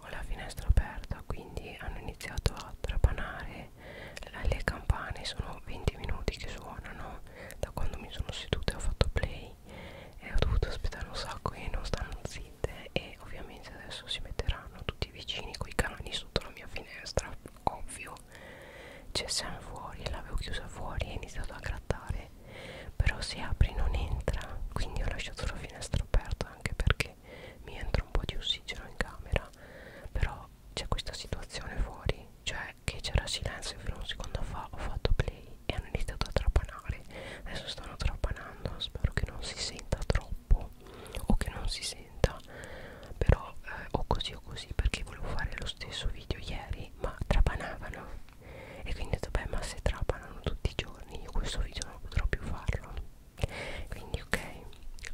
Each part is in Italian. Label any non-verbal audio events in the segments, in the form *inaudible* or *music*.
ho la finestra aperta quindi hanno iniziato a trapanare le campane sono 20 minuti che suonano da quando mi sono seduta e ho fatto play e ho dovuto aspettare un sacco e non stanno zitte e ovviamente adesso si metteranno tutti vicini coi canoni sotto la mia finestra ovvio c'è Sam fuori l'avevo chiusa fuori e ho iniziato a grattare però se apri non entra quindi ho lasciato la finestra aperta anche perché che mi entra un po' di ossigeno in camera però c'è questa situazione fuori cioè che c'era silenzio fino a un secondo fa ho fatto play e hanno iniziato a trapanare adesso stanno trapanando spero che non si senta troppo o che non si senta però eh, o così o così perché volevo fare lo stesso video ieri ma trapanavano e quindi ho detto beh ma se trapanano tutti i giorni io questo video non potrò più farlo quindi ok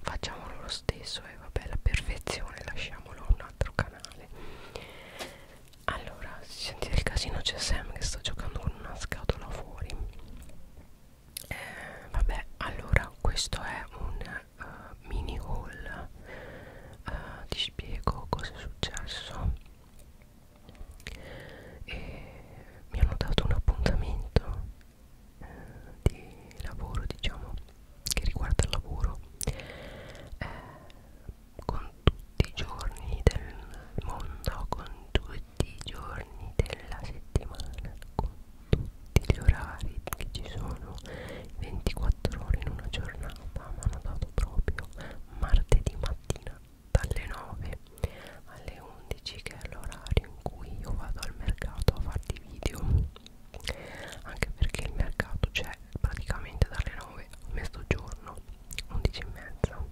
facciamolo lo stesso e eh, vabbè la perfezione lasciamolo a un altro canale allora si sentite il casino c'è Sam che sta giocando con una scatola fuori eh, vabbè allora questo è un uh, mini haul uh, ti spiego cosa è successo e mi hanno dato un appuntamento eh, di lavoro diciamo che riguarda il lavoro eh, con tutti i giorni del mondo con tutti i giorni della settimana con tutti gli orari che ci sono 24 ore in una giornata mi hanno dato proprio martedì mattina dalle 9 alle 11 che è l'orario in cui io vado al mercato a farti video anche perché il mercato c'è praticamente dalle 9 a mezzogiorno 11 e mezza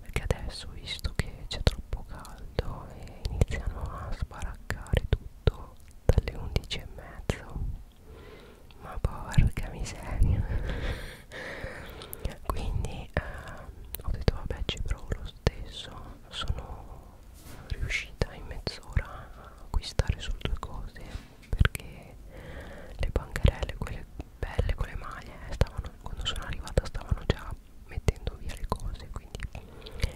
perché adesso visto che c'è troppo caldo e iniziano a sbaraccare tutto dalle 11 e mezzo ma porca miseria *laughs* quindi eh, ho detto vabbè ci provo lo lo stesso sono riuscita in mezz'ora a acquistare solo due cose perché le bancarelle quelle belle con le maglie eh, stavano, quando sono arrivata stavano già mettendo via le cose quindi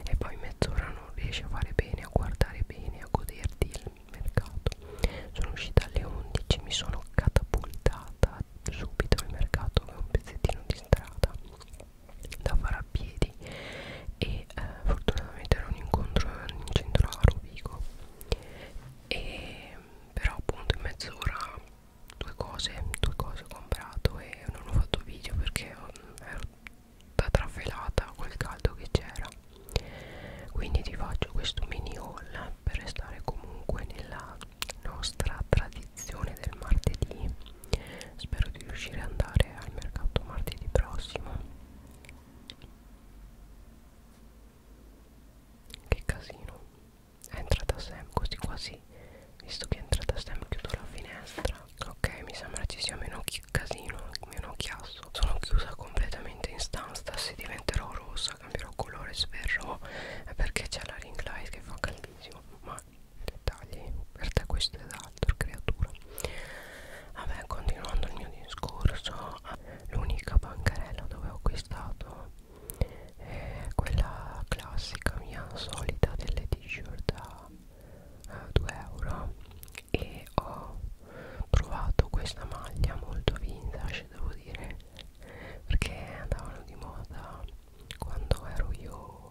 e poi mezz'ora non riesci a fare bene a guardare bene a goderti il mercato sono uscita alle 11 mi sono catapultata subito al mercato che è un pezzettino di concentrata da fare a piedi e eh, fortunatamente era un incontro in centro a Rovigo e però appunto in mezz'ora due cose due cose ho comprato e non ho fatto video perché ho, mm, ero da trafelata col caldo che c'era quindi ti faccio questo mini haul per restare comunque nella nostra tradizione del martedì spero di riuscire ad andare al mercato martedì prossimo che casino è entrata Sam così quasi visto che è entrata Sam chiudo la finestra ok mi sembra ci sia meno casino meno chiasso sono chiusa completamente in stanza se diventerò rossa cambierò colore sferrò perché c'è la ring light che fa caldo lunghissimo ma dettagli per te questo ed altro creatura vabbè continuando il mio discorso l'unica bancarella dove ho acquistato è quella classica mia solita delle t-shirt a uh, 2 euro e ho trovato questa maglia molto vintage devo dire perché andavano di moda quando ero io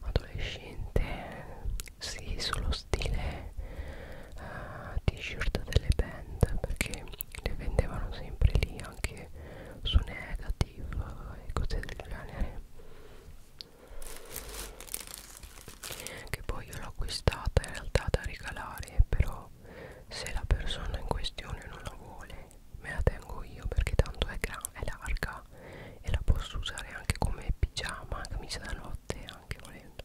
adolescente sì sullo stile uh, t-shirt delle band perché le vendevano sempre lì anche su negative e cose del genere che poi io l'ho acquistata in realtà da regalare però se la persona in questione non la vuole me la tengo io perché tanto è, è larga e la posso usare anche come pigiama, camicia da notte anche volendo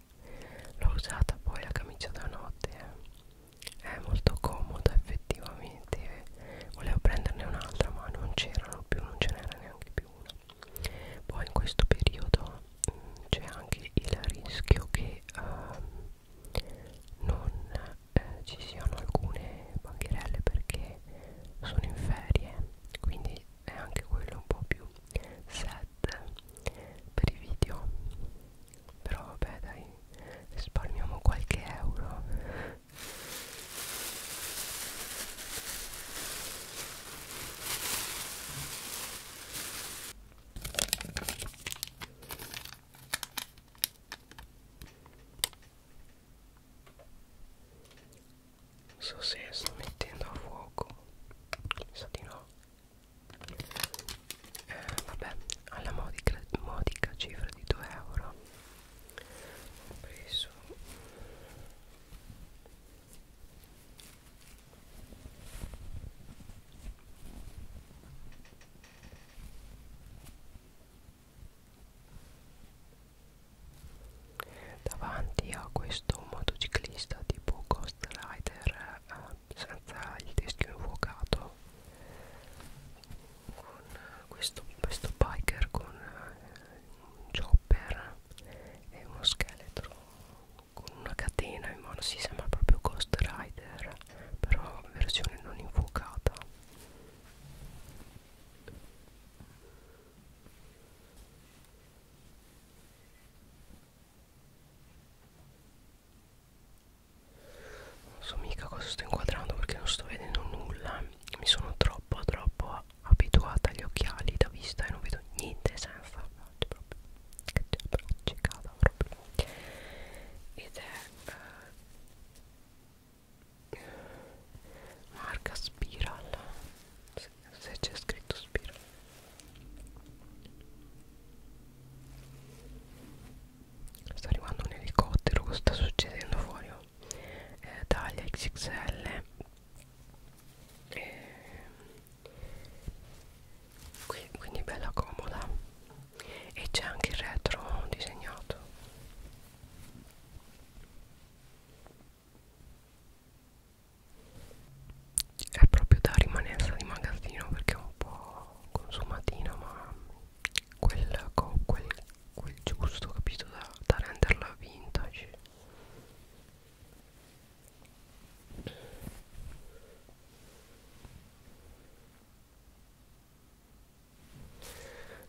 l'ho usata poi la camicia da notte eh. è molto comoda effettivamente volevo prenderne un'altra ma non c'erano più non ce n'era neanche più una poi in questo periodo mm, c'è anche il rischio che um, non eh, ci siano alcune bancherelle perché sono in ferie quindi è anche quello un po' più sad per i video però vabbè dai risparmiamo qualche euro non so se sto mettendo a fuoco. Mi sa di no. Eh, vabbè, alla modica, modica cifra di 2 euro ho preso davanti a questo motociclista tipo Ghost Rider eh, senza il teschio infuocato con questo, questo biker con eh, un chopper e uno scheletro con una catena in mano si sembra proprio Ghost Rider però versione non infuocata non so mica cosa sto inquadrando perché non sto vedendo nulla mi sono troppo troppo abituata agli occhiali da vista e non vedo niente senza proprio che proprio ed è eh, marca Spiral se, se c'è scritto Spiral sta arrivando un elicottero cosa sta succedendo fuori oh? eh, taglia XXL eh, Qui, quindi bella comoda e c'è anche il retro disegnato è proprio da rimanenza di magazzino perché è un po' consumatina ma quel, quel, quel giusto capito da, da renderla vintage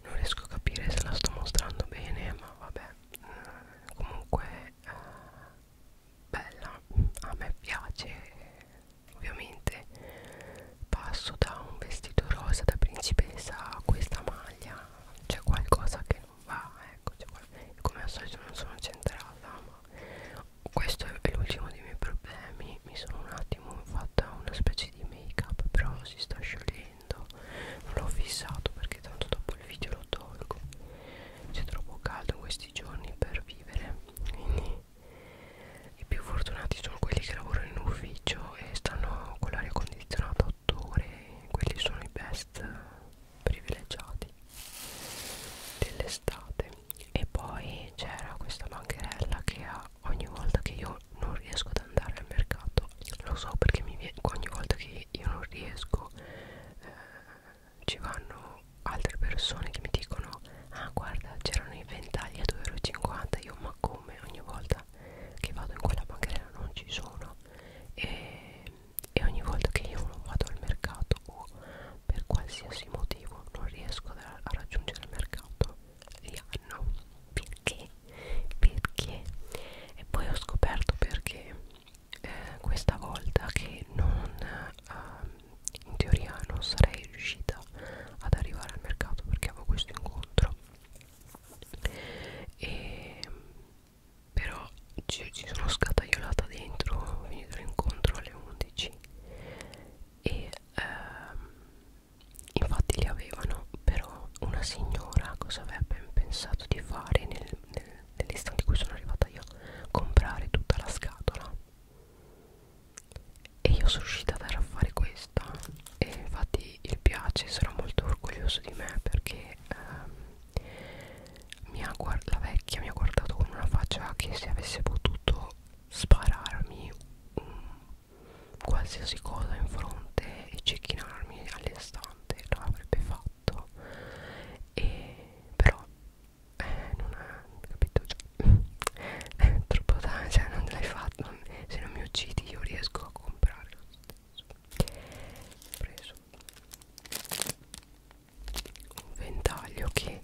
non riesco a capire se la sto mostrando bene ma vabbè eh, comunque eh, bella a me piace ovviamente passo da un vestito rosa da principessa a questa maglia c'è qualcosa che non va ecco qual come al solito non sono centrata ma questo è l'ultimo dei miei problemi mi sono un attimo fatta una specie di make up però si sta sciogliendo non l'ho fissato perché tanto dopo il video lo tolgo c'è troppo caldo in questi giorni per vivere quindi i più fortunati sono quelli che lavorano in ufficio e stanno con l'aria condizionata 8 ore quelli sono i best privilegiati dell'estate e poi c'era questa bancherella che ha ogni volta che io non riesco ad andare al mercato lo so perché mi viene, ogni volta che io non riesco eh, ci vanno altre persone che mi dicono ah guarda c'erano i ventagli a 2,50 io ma come ogni volta che vado in quella bancherella non ci sono e, e ogni volta che io non vado al mercato o oh, per qualsiasi motivo non riesco a raggiungere il mercato Rihanna perché? perché? e poi ho scoperto perché eh, questa volta che non eh, in teoria non sarei riuscita ad arrivare al mercato perché avevo questo incontro e però ci, ci sono scataiolata dentro, ho finito l'incontro alle 11 e ehm, infatti li avevano però una signora cosa avrebbe pensato di fare nel, nel, nell'istante in cui sono arrivata io comprare tutta la scatola e io sono riuscita a dare a fare questa e infatti il piace sarà molto orgoglioso di me perché ehm, mi ha la vecchia mi ha guardato con una faccia che se avesse potuto spararmi un qualsiasi cosa in fronte e cecchinarmi all'istante lo avrebbe fatto e però eh, non è capito cioè, *laughs* è troppo tardi cioè non l'hai fatto non, se non mi uccidi io riesco a comprare lo stesso preso un ventaglio che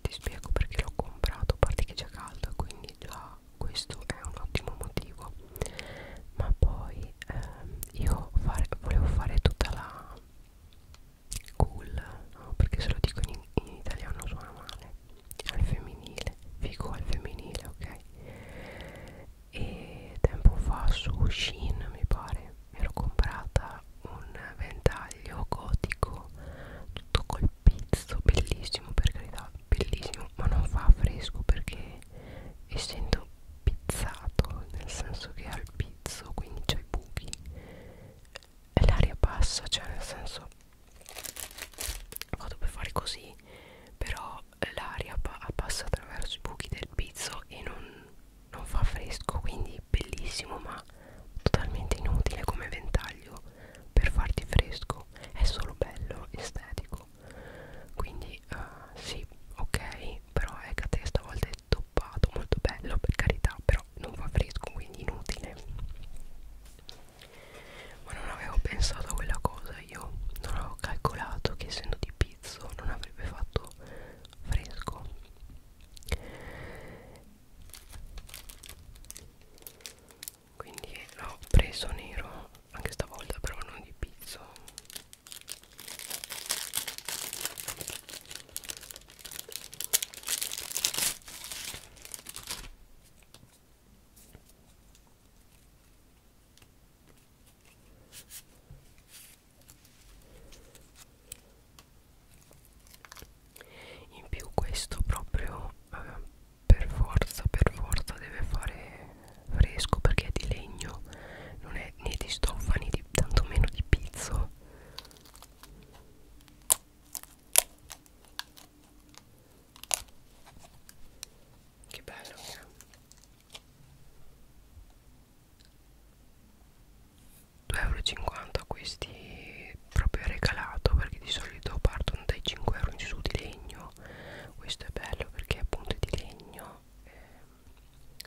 ti spiego perché l'ho comprato a parte che c'è caldo quindi già questo è un ottimo motivo ma poi ehm, io fare, volevo fare tutta la cool no? perché se lo dico in, in italiano suona male al femminile figo al femminile ok e tempo fa su Shein mi pare mi ero comprata un ventaglio gotico tutto col pizzo bellissimo per carità bellissimo ma non fa fresco perché essendo pizzato nel senso che ha il pizzo quindi c'è i buchi e l'aria passa cioè nel senso vado per fare così però l'aria pa passa attraverso i buchi del pizzo e non non fa fresco quindi bellissimo ma totalmente inutile come ventaglio per farti fresco è solo bello estetico quindi uh, sì ok però Hecate stavolta è toppato molto bello per carità però non fa fresco quindi inutile ma non avevo pensato a quella cosa io non avevo calcolato che essendo di pizzo non avrebbe fatto fresco quindi l'ho preso nero anche stavolta però non di pizzo in più questo proprio eh, per forza per forza deve fare fresco perché è di legno non è né di stoffa né di, tantomeno di pizzo che bello che è 2,50€ questi proprio regalato perché di solito partono dai 5 euro in su di legno questo è bello perché appunto è di legno eh,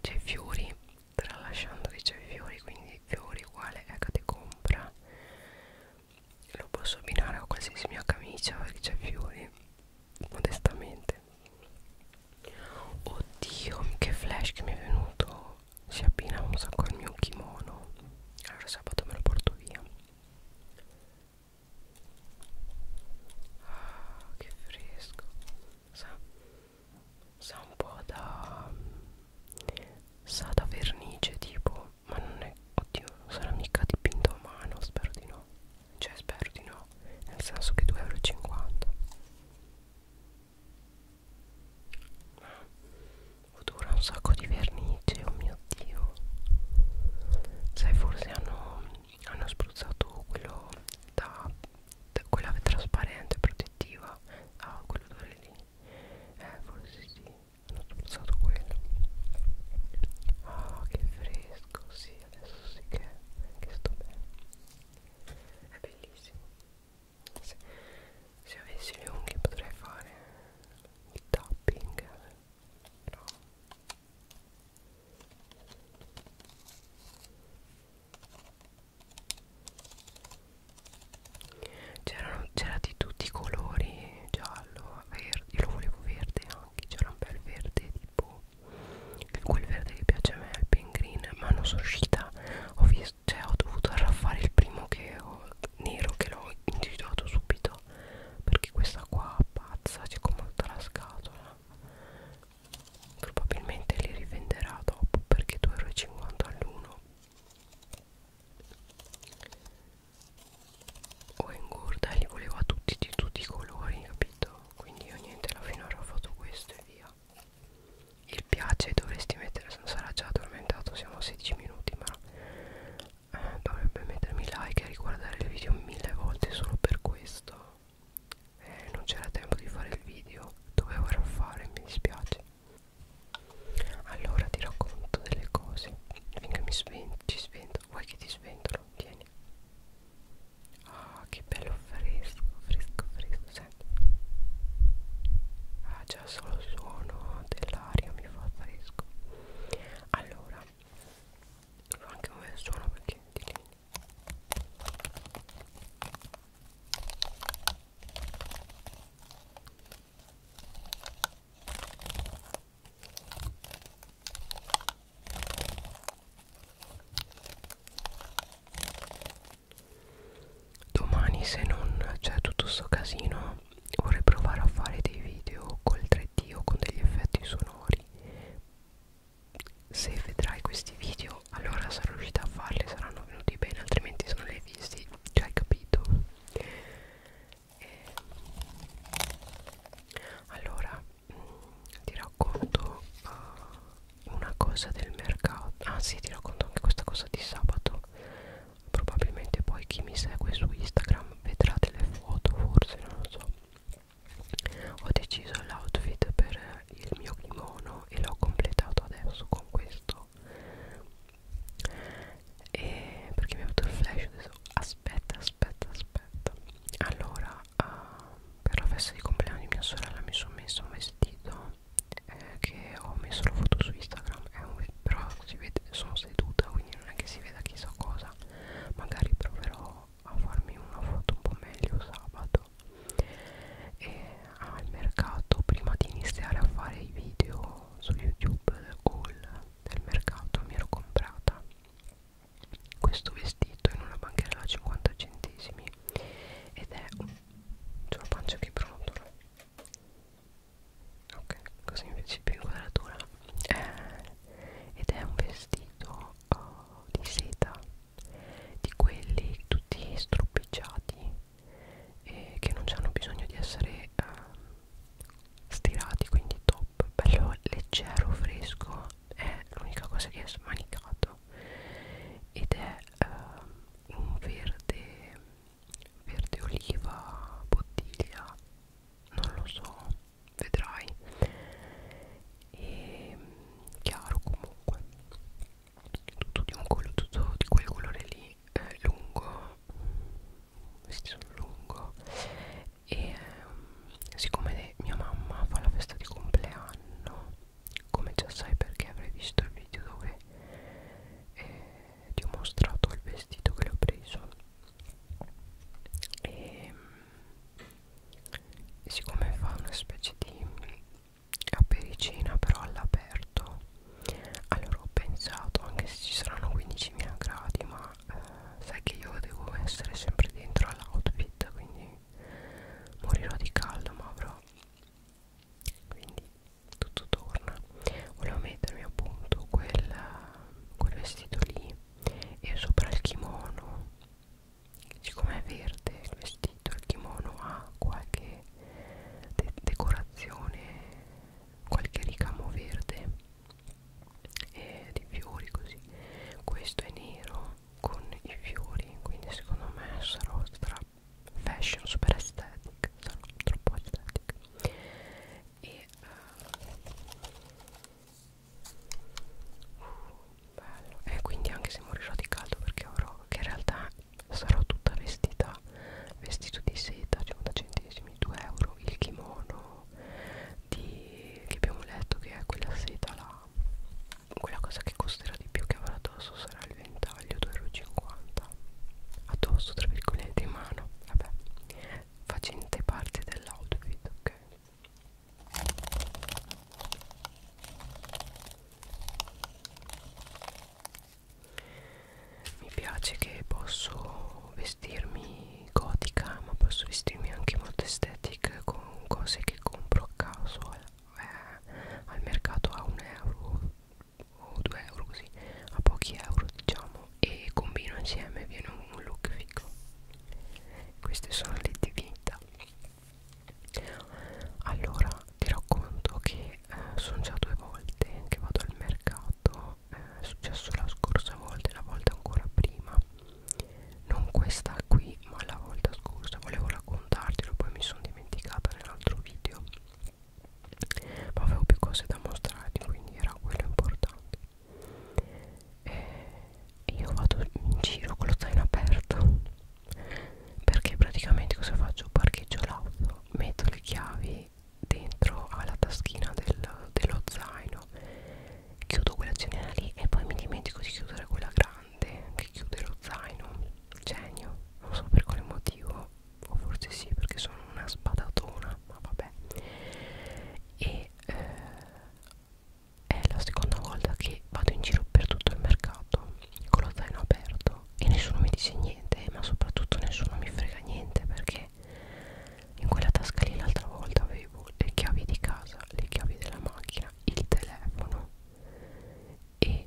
c'è fiori tralasciando che c'è fiori quindi fiori uguale Ecate ecco, compra lo posso abbinare a qualsiasi mia camicia perché c'è fiori modestamente Oddio che flash che mi è venuto Si abbina un sacco al mio kimono Allora sabato me lo porto via Ah che fresco Sa, sa un po' da Sa da vernice tipo Ma non è Oddio non sarà mica dipinto a mano Spero di no Cioè spero di no Nel senso che 2,50 euro Odora un sacco di vernice, oh mio dio Sai forse hanno, hanno spruzzato quello da, da quella trasparente protettiva Ah quell'odore lì Eh forse sì hanno spruzzato quello Ah che fresco sì adesso sì che, che sto bene È bellissimo se, se avessi le unghie potrei fare il tapping però c'era di tutti i colori giallo, verde, io lo volevo verde anche, c'era un bel verde tipo quel verde che piace a me è il pin green ma non sono riuscita ho, visto, cioè, ho dovuto arraffare il primo che ho, nero che l'ho individuato subito perché questa qua pazza c'è come tutta la scatola probabilmente li rivenderà dopo perché 2,50 all'uno o ingorda li volevo a tutti di tutti i colori capito quindi io niente alla fine ho fatto questo e via il piace dovresti mettere non sarà già addormentato siamo a 16 minuti ma eh, dovrebbe mettermi like e riguardare il video mille volte solo per questo eh, non c'era tempo di fare il video dovevo fare mi dispiace allora ti racconto delle cose finché mi svento, ci svento vuoi che ti sventolo tieni Ah, oh, che bello fresco, fresco, fresco, senti. Cioè. Ah, già solo il suono dell'aria mi fa fresco. Allora, fa anche un bel suono perché di lì domani se non c'è tutto sto casino vorrei provare a fare dei video col 3D o con degli effetti sonori se vedrai questi video allora sarò riuscita a farli saranno venuti bene altrimenti se non li hai visti già hai capito e... allora ti racconto uh, una cosa del mercato ah sì ti racconto anche questa cosa di sabato probabilmente poi chi mi segue su Instagram vedrà delle foto forse non lo so ho deciso l'outfit per il mio kimono e l'ho completato adesso con questo e perché mi è avuto il flash adesso aspetta aspetta aspetta allora uh, per la festa di compleanno di mia sorella mi sono messa un vestito eh, che ho messo la foto su Instagram è un, però si vede, sono seduta quindi non è che si veda chissà cosa magari proverò a farmi una foto un po' meglio sabato e al mercato prima di iniziare a fare i video su youtube haul del mercato mi ero comprata questo vestito in una bancherella a 50 centesimi ed è un, c'è una pancia che brotola ok così invece più inquadratura eh, ed è un vestito oh, di seta di quelli tutti stropicciati e eh, che non hanno bisogno di essere eh, stirati quindi top bello leggero fresco è l'unica cosa che è smanicato ed è uh, un verde verde oliva bottiglia non lo so vedrai e chiaro comunque tutto di un colore tutto di quel colore lì eh, lungo sì, sono lungo e um, siccome mia mamma fa la festa di compleanno come già sai perché avrei visto il video dove eh, ti ho mostrato il vestito che l'ho preso e, e siccome fa una specie di apericina però all'aperto allora ho pensato anche se ci saranno 15.000 gradi ma eh, sai che io devo essere sempre dentro all'outfit quindi morirò di caldo ma avrò quindi tutto torna volevo mettermi appunto quel, quel vestito lì e sopra il kimono siccome è verde il vestito il kimono ha qualche de decorazione qualche ricamo verde e di fiori così questo è nero con i fiori quindi secondo me sarò stra fashion super aesthetic sarò troppo aesthetic e eh, uh, bello e quindi anche se morirò di caldo perché avrò che in realtà sarò tutta vestita vestito di seta 50 diciamo, centesimi 2 euro il kimono di che abbiamo letto che è quella seta là quella cosa che costerà di più che avrà addosso sarà il ventaglio 2,50 euro addosso tra virgolette in mano vabbè facente parte dell'outfit ok mi piace che posso vestirmi gotica ma posso vestirmi anche molto estetica con con cose che compro a caso eh, eh, al mercato a un euro o due euro così a pochi euro diciamo e combino insieme viene un look figo queste sono le divinità allora ti racconto che eh, sono già due volte che vado al mercato eh, è successo la scorsa volta e la volta ancora prima non questa qui ma la volta scorsa volevo raccontartelo poi mi sono dimenticata nell'altro video ma avevo più cose da mostrarti quindi era quello importante e eh, io vado in giro con lo zaino aperto perché praticamente cosa faccio parcheggio l'auto metto le chiavi dentro alla taschina del, dello zaino chiudo quella generale lì e poi mi dimentico di chiudere quella grande che chiude lo zaino genio non so per quale motivo o forse sì perché sono una spadatona ma vabbè e eh, è la seconda volta che vado in giro per tutto il mercato con lo zaino aperto e nessuno mi dice niente ma soprattutto nessuno mi frega niente perché in quella tasca lì l'altra volta avevo avevo le chiavi di casa, le chiavi della macchina, il telefono e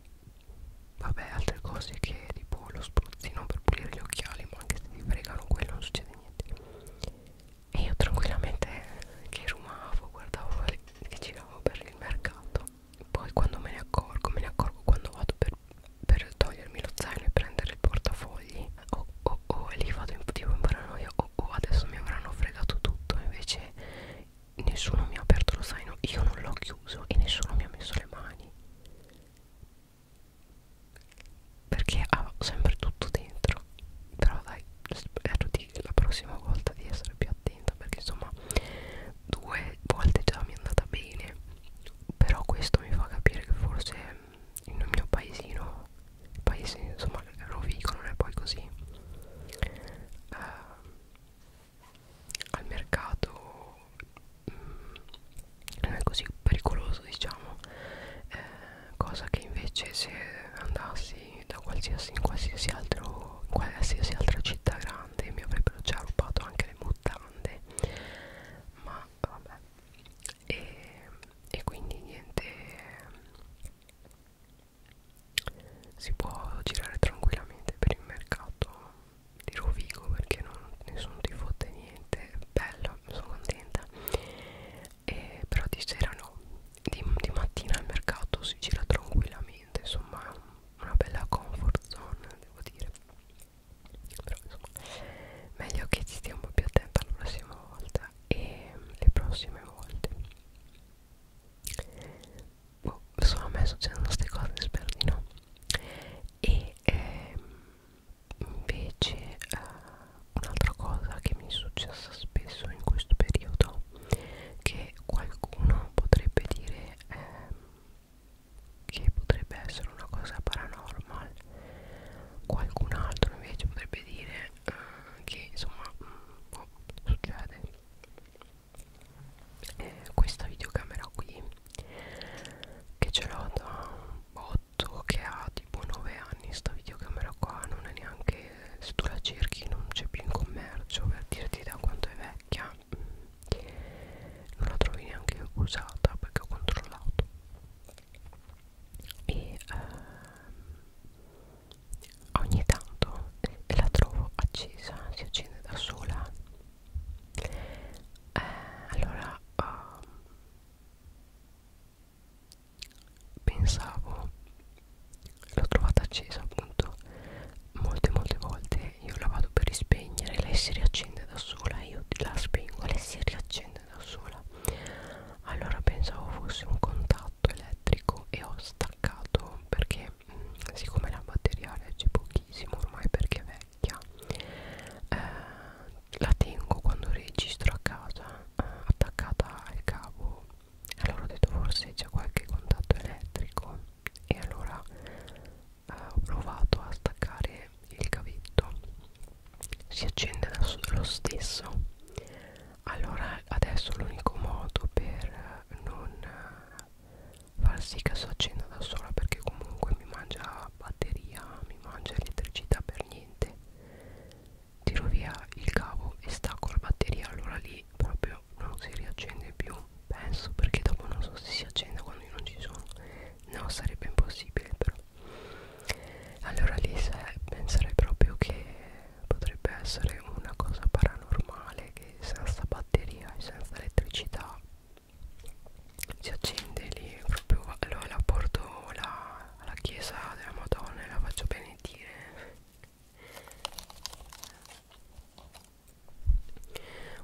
vabbè altre cose che tipo lo spruzzino per pulire gli occhiali ma anche se ti fregano quello non succede niente e io tranquillamente che rumavo guardavo che giravo per il mercato poi quando me ne accorgo me ne accorgo quando vado per, per togliermi lo zaino e prendere il portafogli oh oh oh e lì vado in, tipo in paranoia oh oh adesso mi avranno fregato tutto invece nessuno mi ha aperto lo zaino io non l'ho chiuso e nessuno mi ha messo le mani perché avevo sempre tutto dentro però dai spero di la prossima volta di essere più attenta perché insomma due volte già mi è andata bene però questo mi fa capire che forse il mio paesino il paese insomma Rovigo non è poi così eh, al mercato mh, mm, non è così pericoloso diciamo eh, cosa che invece se andassi da qualsiasi in qualsiasi altro in qualsiasi altra città grande mi avrebbero già rubato anche le mutande ma vabbè e e quindi niente si può girare tranquillamente per il mercato di Rovigo perché non, nessuno ti fotte niente bello sono contenta e, però di sera no di, di mattina al mercato si gira tranquillamente insomma è una bella comfort zone devo dire però insomma meglio che ci stiamo più attenti la prossima volta e le prossime volte boh, sono a me succedono queste cose spero di no e ehm, invece eh, un'altra cosa che mi è successa spesso in questo periodo che qualcuno potrebbe dire ehm, che potrebbe essere una cosa paranormal qualcun altro invece potrebbe dire eh, che insomma mm, boh, succede eh, questa videocamera qui che ce l'ho da un botto che ha tipo 9 anni sta videocamera qua non è neanche se tu la cerchi non c'è più in commercio per dirti da quanto è vecchia mm, non la trovi neanche usata perché ho controllato e ehm, ogni tanto la trovo accesa, si accende da sola. Eh, allora ehm, pensavo, l'ho trovata accesa appunto molte molte volte, io la vado per rispegnere, lei si riaccende da sola, io la spengo, lei si riaccende fare da sola allora pensavo fosse un contatto elettrico e ho staccato perché mh, mm, siccome la batteria legge pochissimo ormai perché è vecchia eh, la tengo quando registro a casa eh, attaccata al cavo allora ho detto forse c'è qualche contatto elettrico e allora eh, ho provato a staccare il cavetto si accende da lo stesso allora adesso l'unico modo per non far sì che si accenda da sola perché comunque mi mangia batteria mi mangia elettricità per niente tiro via il cavo e stacco la batteria allora lì proprio non si riaccende più penso perché dopo non so se si accende quando io non ci sono no sarebbe impossibile però allora lì eh, penserei proprio che potrebbe essere una cosa paranormale che senza batteria e senza elettricità si accende lì proprio allora la porto alla, alla chiesa della Madonna e la faccio benedire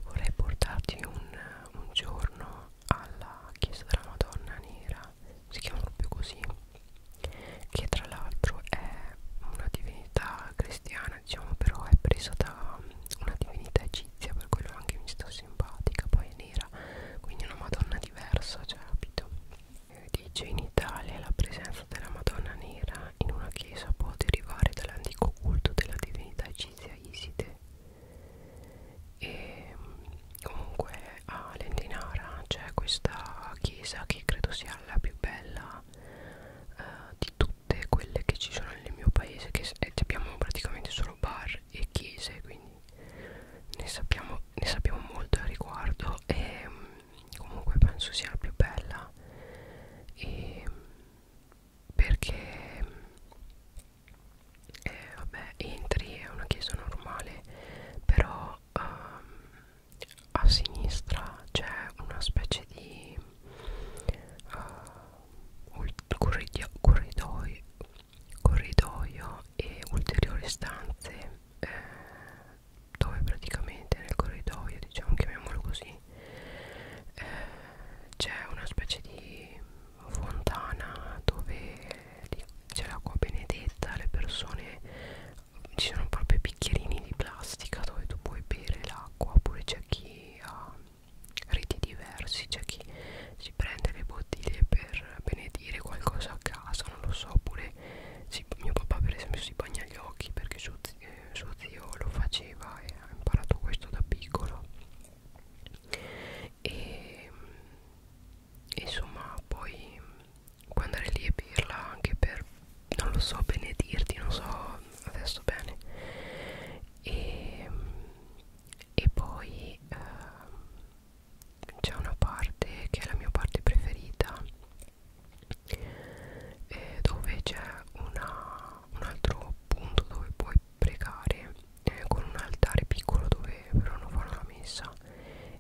vorrei portarti un, un giorno alla chiesa della Madonna Nera si chiama proprio così che tra l'altro è una divinità cristiana diciamo però è presa da una divinità egizia per quello anche mi sta simpatica poi è nera quindi una madonna diversa cioè capito dice in Italia la presenza della madonna nera in una chiesa può derivare dall'antico culto della divinità egizia Iside e comunque a Lendinara c'è questa chiesa che credo sia la più bella uh, di tutte quelle che ci sono nel mio paese che eh, abbiamo praticamente solo bar e chiese quindi ne sappiamo, ne sappiamo molto al riguardo e um, comunque penso sia la più bella e perché eh, vabbè entri è una chiesa normale però um, a sinistra c'è una specie di eh, uh, corridoio, corridoio, corridoio e ulteriori stanze eh, dove praticamente nel corridoio diciamo chiamiamolo così eh, c'è una specie di fontana dove c'è l'acqua benedetta le persone ci sono proprio bicchierini di plastica dove tu puoi bere l'acqua oppure c'è chi ha riti diversi c'è chi si prende le bottiglie per benedire qualcosa a casa non lo so oppure si, mio papà per esempio si bagna gli occhi perché suo, eh, suo zio lo faceva e ha imparato questo da piccolo e insomma poi puoi andare lì e berla anche per non lo so benedirti non so adesso bene e, e poi eh, c'è una parte che è la mia parte preferita eh, dove c'è un altro punto dove puoi pregare eh, con un altare piccolo dove però non fanno la messa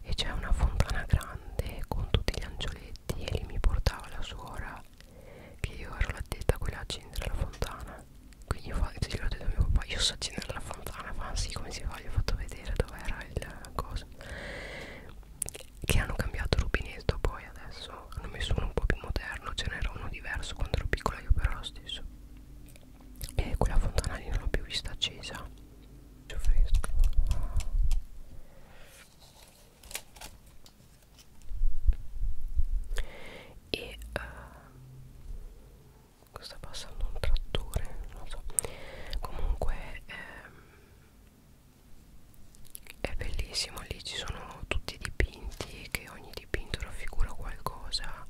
e c'è una fontana grande con tutti gli angioletti e lì mi portava la suora che io ero l'addetta quella a accendere la fontana quindi io se l'ho detto a mio papà io so accendere la fontana ma sì come si fa gli ho fatto vedere dove era il coso che hanno cambiato il rubinetto poi adesso hanno messo uno un po' più moderno ce n'era uno diverso quando ero piccola io però lo stesso e quella fontana lì non l'ho più vista accesa c'è fresco e uh, eh, sta passando un trattore non so comunque ehm, è bellissimo lì ci sono tutti i dipinti che ogni dipinto raffigura qualcosa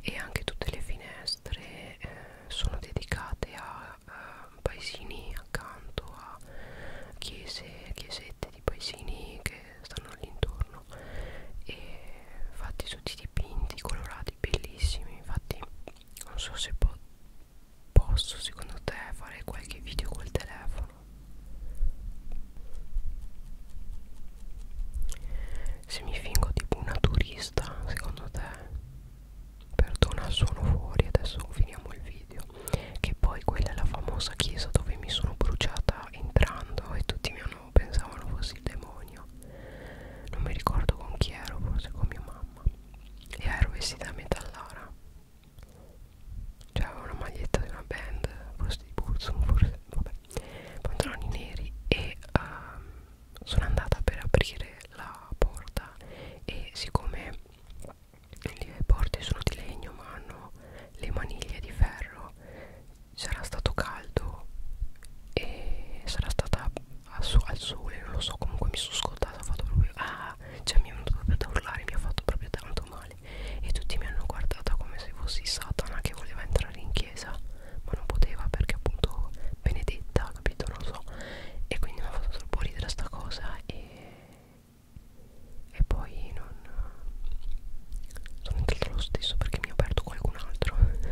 e anche tutte le finestre eh, sono dedicate a, a paesini accanto a chiese, chiesette di paesini che stanno all'intorno e fatti tutti dipinti colorati bellissimi infatti non so se po posso secondo te fare qualche video col telefono se mi fingo tipo una turista secondo te perdona sono fuori adesso finiamo il video che poi quella è la famosa chiesa dove mi sono bruciata entrando e tutti mi hanno pensavano fosse il demonio non mi ricordo con chi ero forse con mia mamma e ero vestita a metallara cioè avevo una maglietta di una band forse di Burzum forse vabbè pantaloni neri e um, sono andata per aprire la porta e siccome le porte sono di legno ma hanno le maniglie di ferro sarà stato caldo e sarà stata al sole non lo so comunque mi sono scottata ho fatto proprio ah cioè mi è venuto proprio da urlare mi ha fatto proprio tanto male e tutti mi hanno guardata come se fossi Satana che voleva entrare in chiesa chiesa ma non poteva perché appunto benedetta capito non lo so e quindi mi ha fatto troppo ridere sta cosa e, e poi non sono entrato lo stesso perché mi ha aperto qualcun altro *laughs*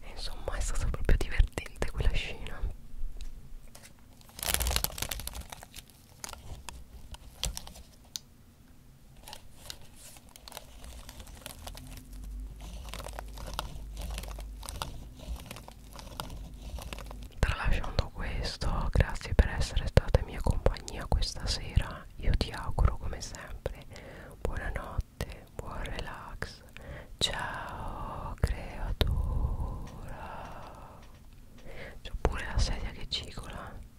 e insomma è stata proprio divertente quella scena Tralasciando questo, grazie per essere stata in mia compagnia questa sera. Io ti auguro come sempre buonanotte, buon relax. Ciao creatura. C'ho pure la sedia che cicola.